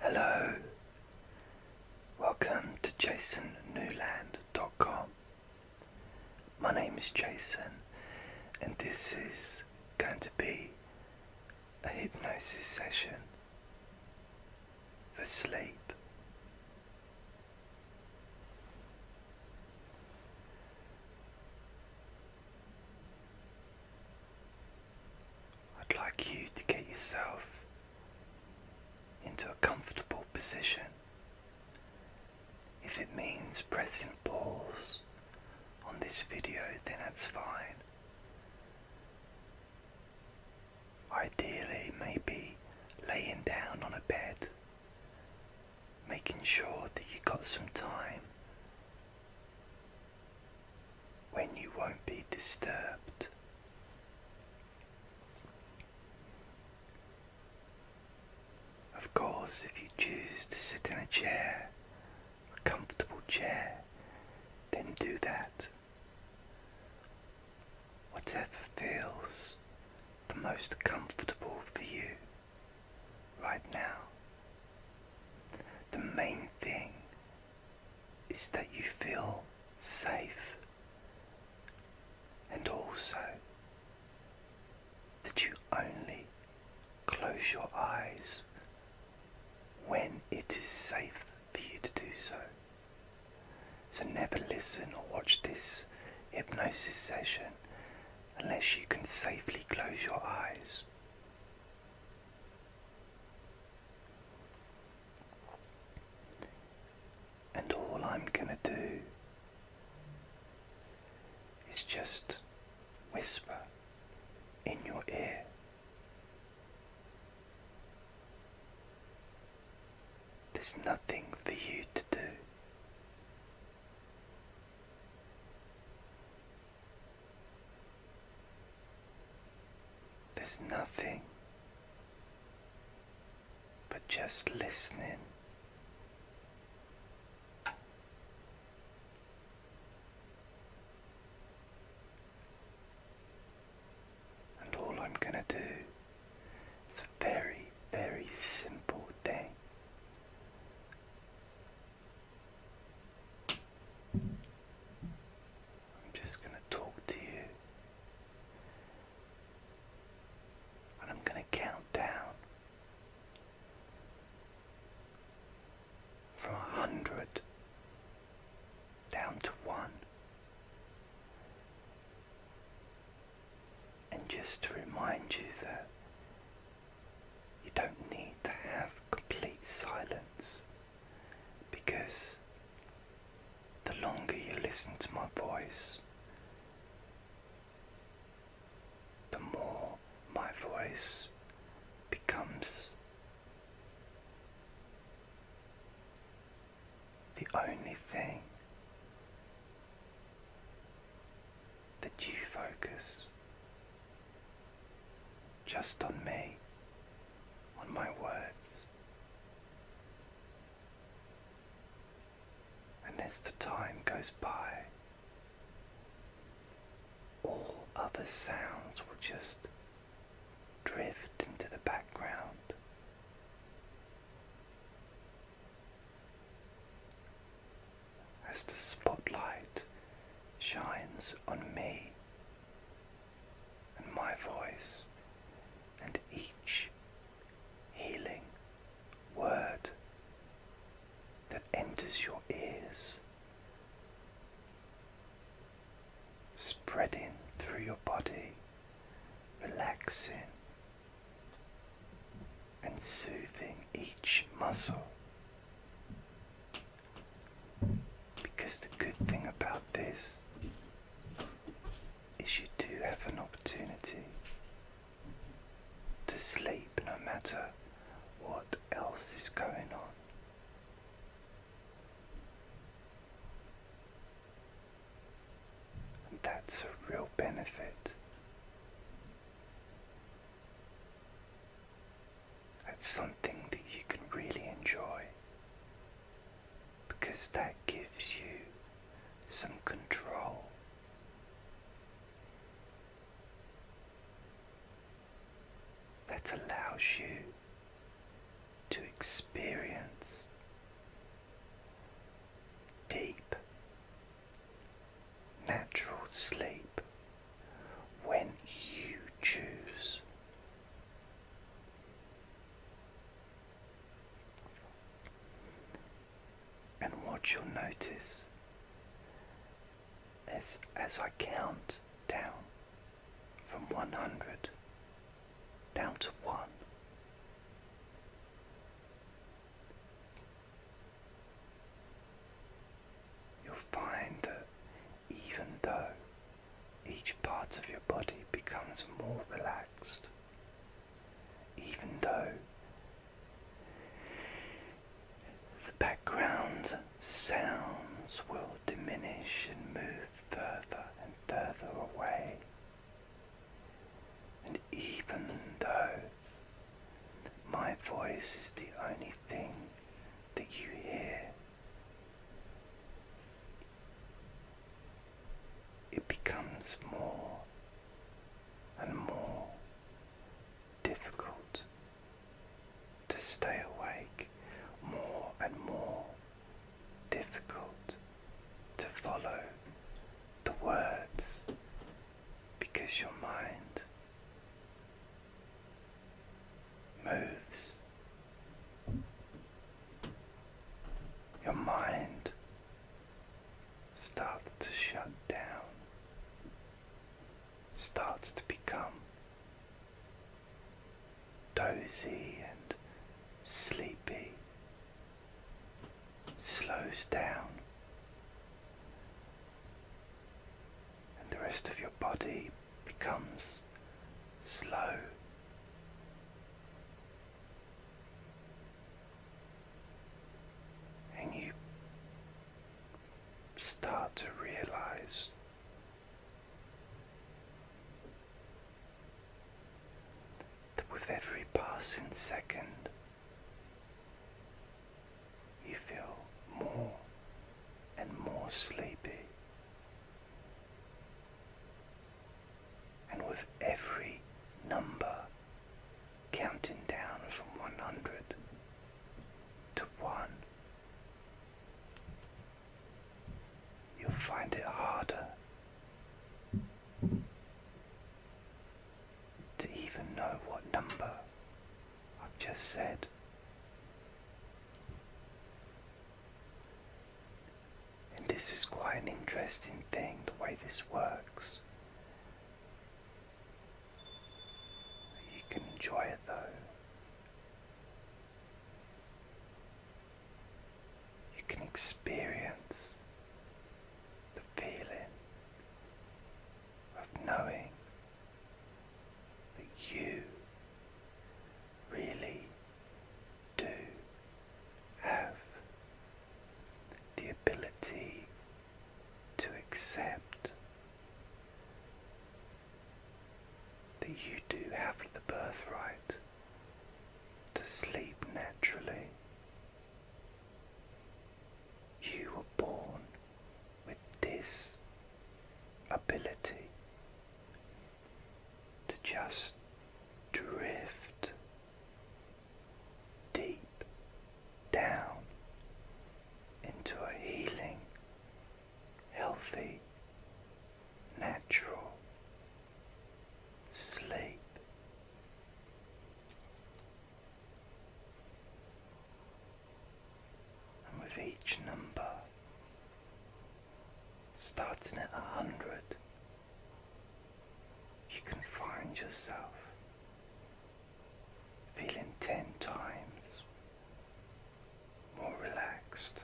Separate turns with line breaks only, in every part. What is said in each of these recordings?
Hello, welcome to jasonnewland.com. My name is Jason, and this is going to be a hypnosis session for sleep. I'd like you to get yourself into a comfortable position. If it means pressing pause on this video, then that's fine. Ideally, maybe laying down on a bed, making sure that you've got some time when you won't be disturbed. Of course, if you choose to sit in a chair, a comfortable chair, then do that. Whatever feels the most comfortable for you right now. The main thing is that you feel safe and also that you only close your eyes when it is safe for you to do so. So never listen or watch this hypnosis session unless you can safely close your eyes. And all I'm going to do is just whisper in your ear. There's nothing for you to do. There's nothing but just listening. And all I'm going to do is a very, very simple thing. I'm just going to talk to you. And I'm going to count down from a hundred down to one. And just to remind you that you don't need to have complete silence because the longer you listen to my voice, the more my voice becomes the only thing that you focus just on me, on my words. And as the time goes by, all other sounds will just drift into the background. As the spotlight shines on me and my voice and each healing word that enters your ears, spreading through your body, relaxing and soothing each muscle. Because the good thing about this is you do have an opportunity to sleep no matter what else is going on. And that's a real benefit at something that you can really enjoy because that gives you some control. That allows you to experience deep natural sleep when you choose. And what you'll notice is as I count down from 100 down to 1, you'll find that even though each part of your body becomes more relaxed, even though the background sounds will diminish and move further and further away. And even though my voice is the only thing that you hear, it becomes more and more difficult to stay awake, more and more difficult to follow the words because your mind moves. Your mind starts to shut down, starts to become dozy and sleepy, slows down and the rest of your body becomes slow. And you start to realize that with every passing second, you feel more and more sleepy. And with every number counting down from 100 to 1, you'll find it harder to even know what number I've just said. And this is quite an interesting thing the way this works. You can enjoy it though. You can experience the feeling of knowing but you really do have the ability to accept that you do have the birthright to sleep naturally. You were born with this ability to just drift deep down into a healing, healthy, natural sleep. And with each number, starting at a hundred, you can find yourself feeling ten times more relaxed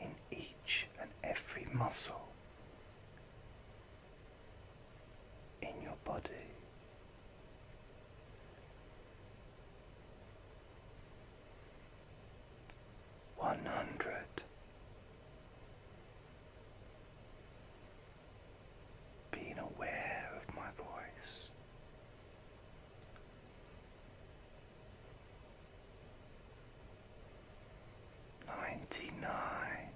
in each and every muscle in your body. One hundred. Being aware of my voice. Ninety nine.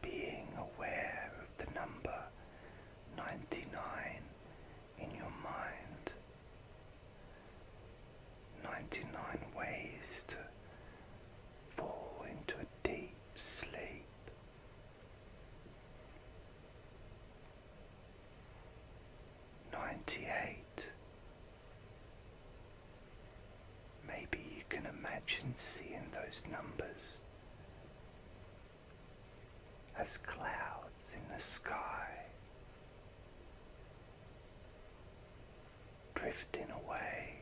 Being aware of the number 99 in your mind. 99 ways to fall into a deep sleep. Ninety eight Maybe you can imagine seeing those numbers as clouds in the sky drifting away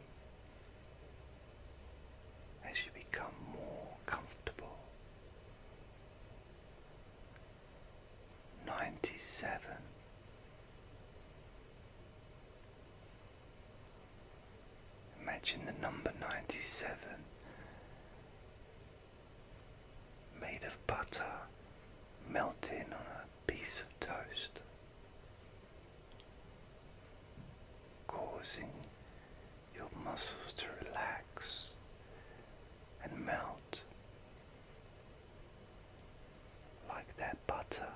as you become more comfortable ninety seven. Imagine the number ninety seven made of butter melting on a piece of toast, causing your muscles to relax and melt like that butter.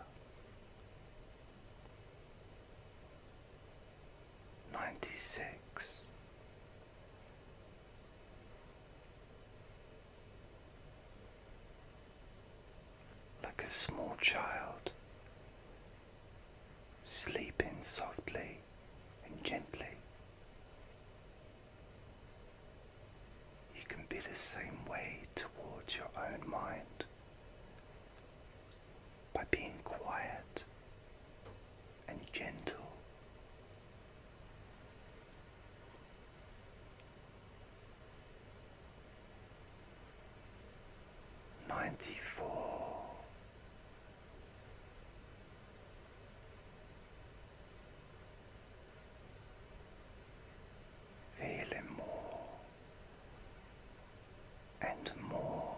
Ninety six. Like a small child, sleeping softly and gently. You can be the same way towards your own mind by being quiet and gentle. Ninety four feeling more and more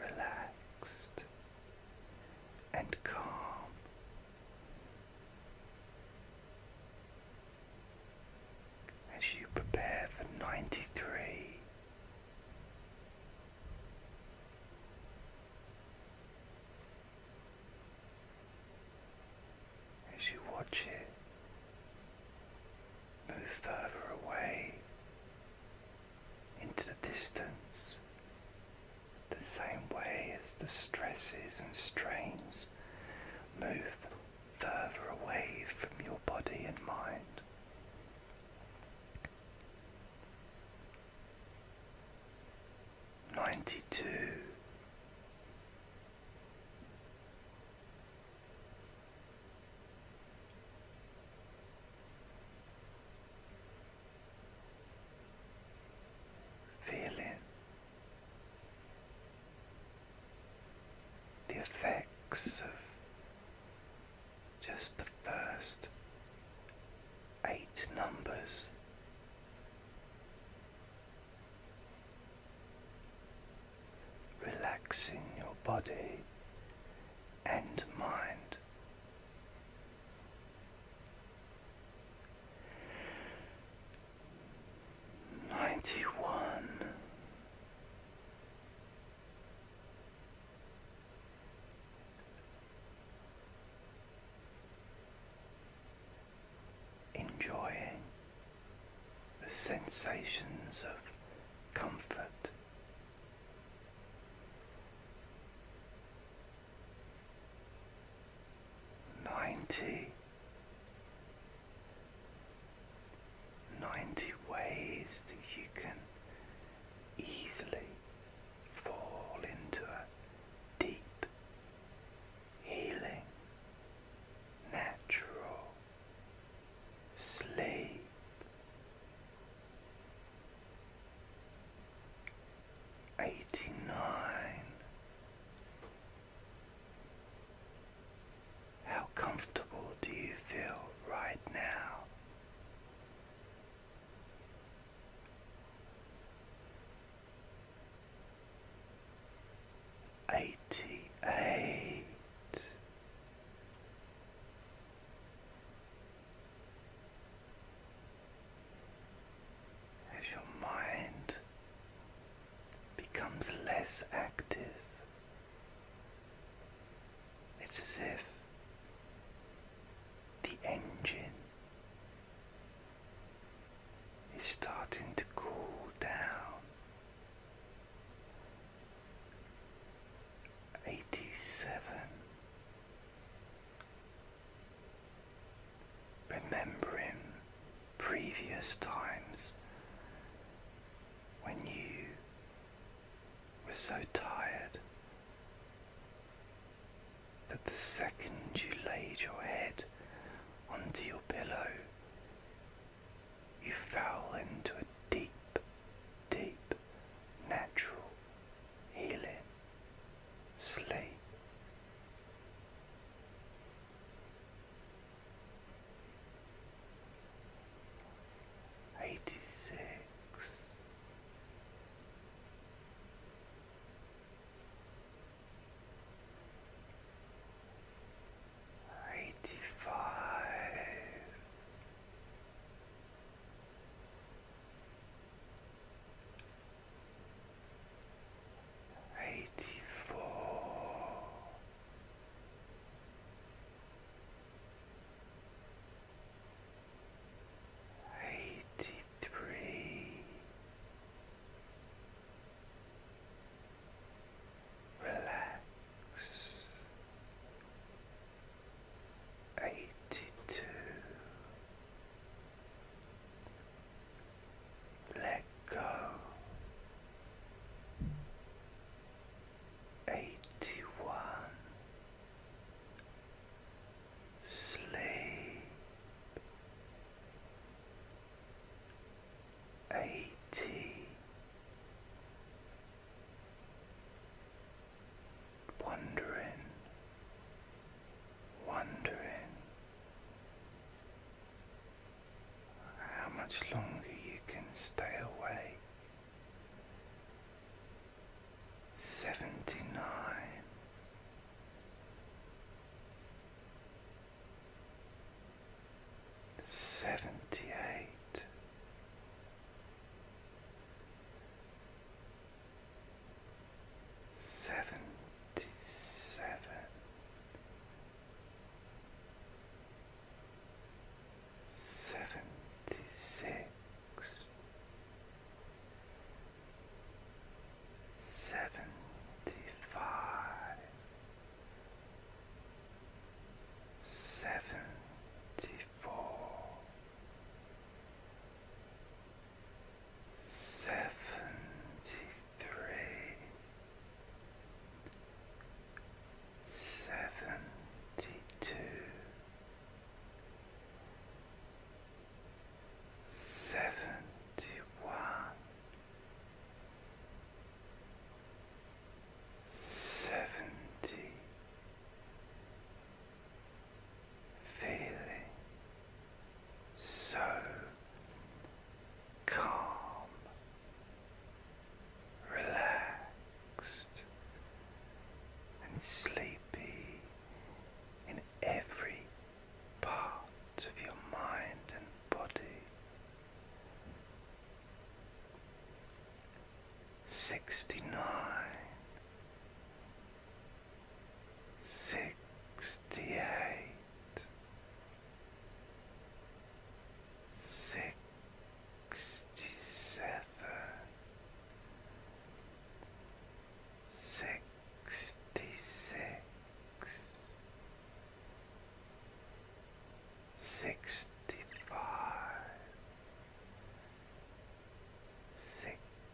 relaxed and calm. As you prepare for ninety three, as you watch it move further away into the distance, the same way as the stresses and strains move further away from your body and mind ninety two. Feeling the effects of just the first eight numbers. Relaxing your body and mind. Ninety one enjoying the sensations of comfort. Ninety, ninety ways that you can easily fall into a deep, healing, natural sleep. Eighty nine. How comfortable do you feel right now? Eighty eight, as your mind becomes less active. It's as if the engine is starting to cool down. 87. Remembering previous times when you were so tired that the second you laid your head onto your pillow, you fell into a deep, deep, natural healing sleep. Eighty six, Eighty five, eighty four eighty three. Relax eighty two. Let go eighty one sleep eighty wandering wondering how much longer you can stay away seventy nine. Seventy eight, seventy seven, seventy six, seventy five, seventy four, seventy three. Seventy two, seventy one, seventy, feeling so calm, relaxed and sleepy in every part of your mind and body. Sixty nine, sixty eight. Sixty sixty-seven, sixty-six, sixty-five, sixty-four,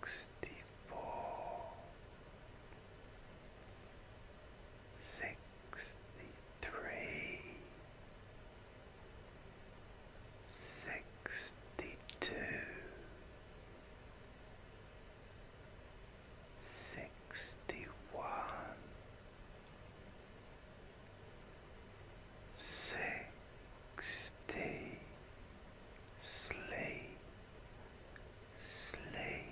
sixty-three sixty two, sixty one, sixty, sleep, sleep,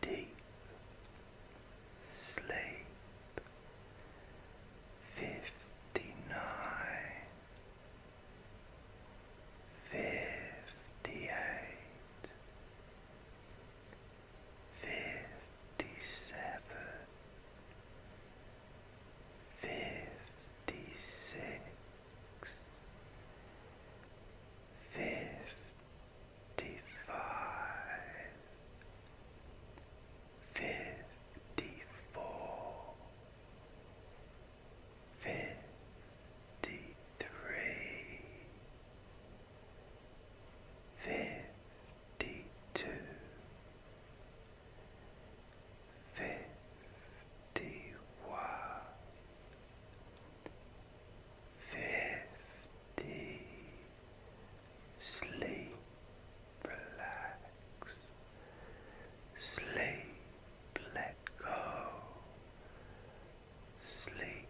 deep sleep fifty nine, fifty eight, fifty seven, fifty six, fifty five fifty-four, fifty-three, fifty-two, fifty-one, fifty. Sleep relax, sleep, let go, sleep,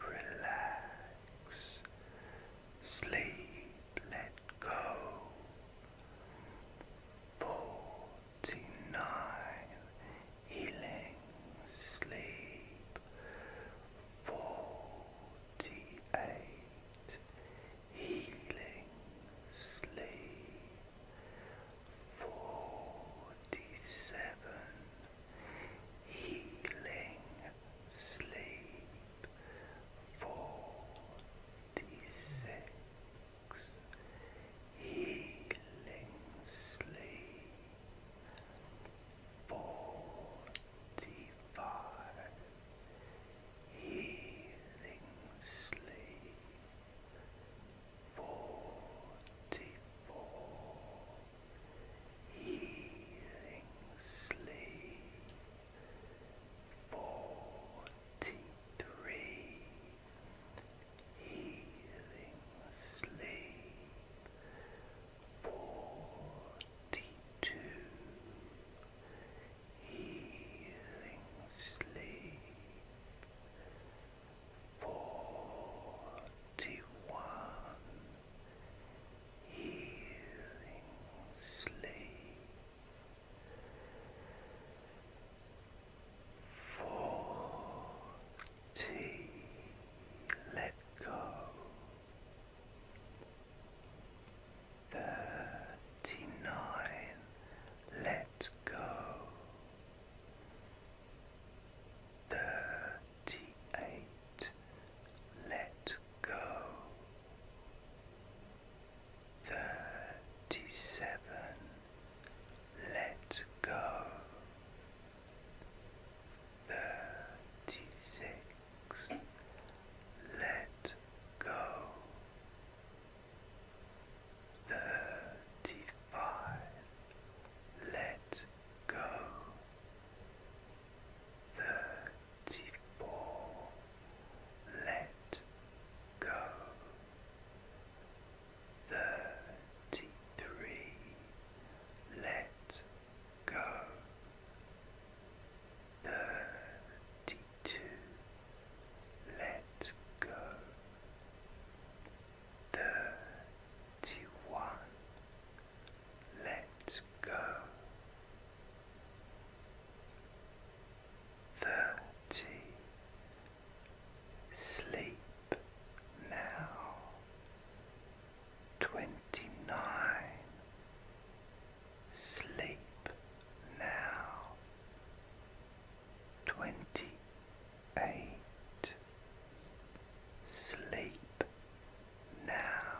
relax, sleep, let go. Forty nine healing sleep. Forty eight healing sleep forty seven healing sleep forty six healing sleep forty twenty-five healing sleep forty-four healing sleep forty-three healing sleep Forty-two healing sleep. Forty-one healing sleep. Forty. Let go. Thirty nine, let go. Thirty eight, let go. Thirty seven, let go. Thirty six let go. Thirty five, let go. Thirty four, let go. Thirty three, let go thirty two let go thirty one let go thirty Sleep now twenty nine. Sleep now. Twenty eight. Sleep now.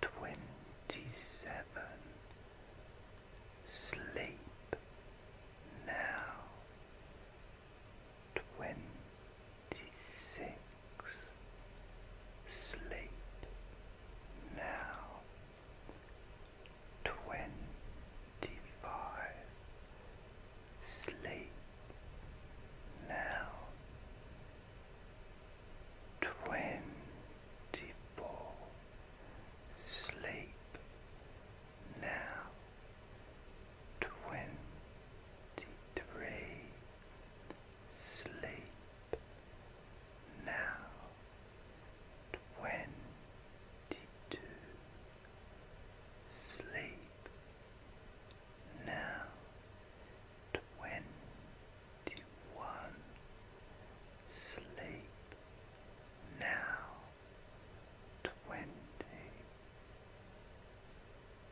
Twenty seven. Sleep now twenty six. Sleep now. Twenty five. Sleep now. Twenty four. Sleep now. Twenty three sleep now twenty two sleep now twenty one sleep now twenty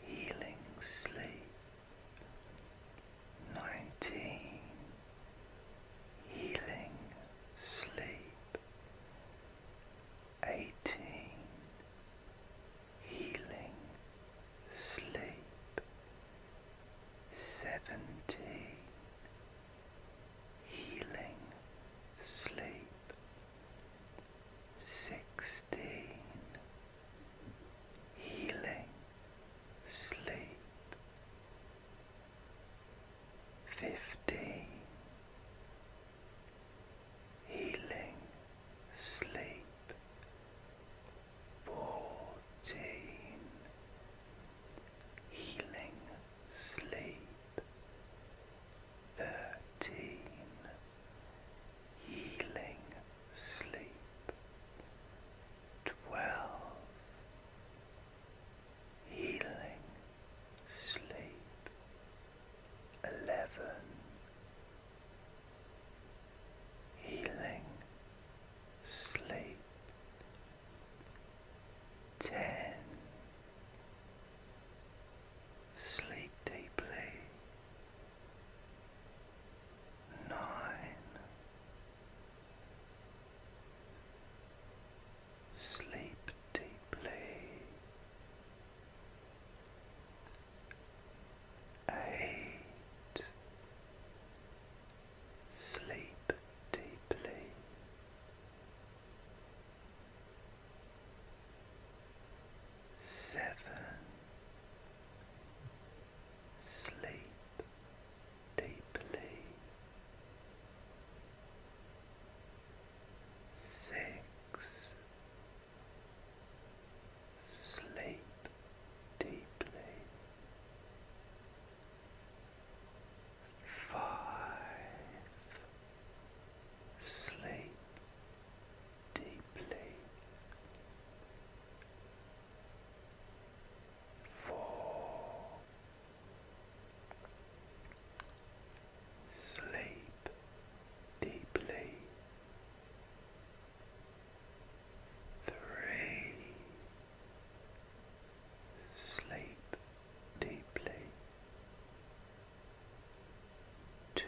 healing sleep nineteen healing sleep eighteen healing sleep seventeen healing sleep sixteen healing sleep. Fifteen healing sleep. Fourteen healing sleep. Thirteen healing sleep. Twelve healing sleep. Eleven healing sleep. Ten. Sleep deeply nine. Sleep deeply. Eight. Sleep deeply. Seven. Sleep deeply. Six. Sleep deeply. Five. Sleep deeply for sleep deeply three sleep deeply to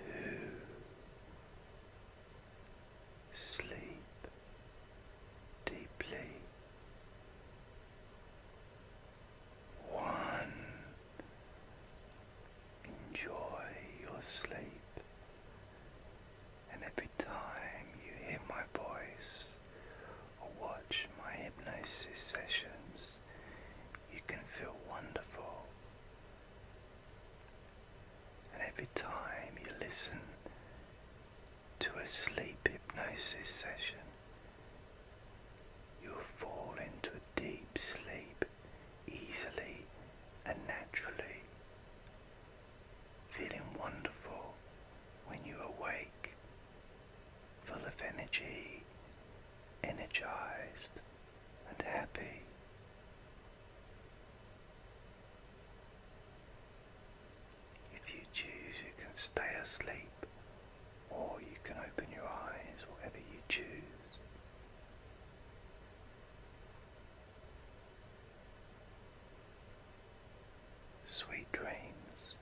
sleep deeply. One, enjoy your sleep, and every time you hear my voice or watch my hypnosis sessions, you can feel wonderful and every time you listen to a sleep hypnosis session, you fall into a deep sleep easily and naturally, feeling wonderful when you awake, full of energy, energized and happy. If you choose, you can stay asleep or you can open your eyes, whatever you choose. Sweet dreams.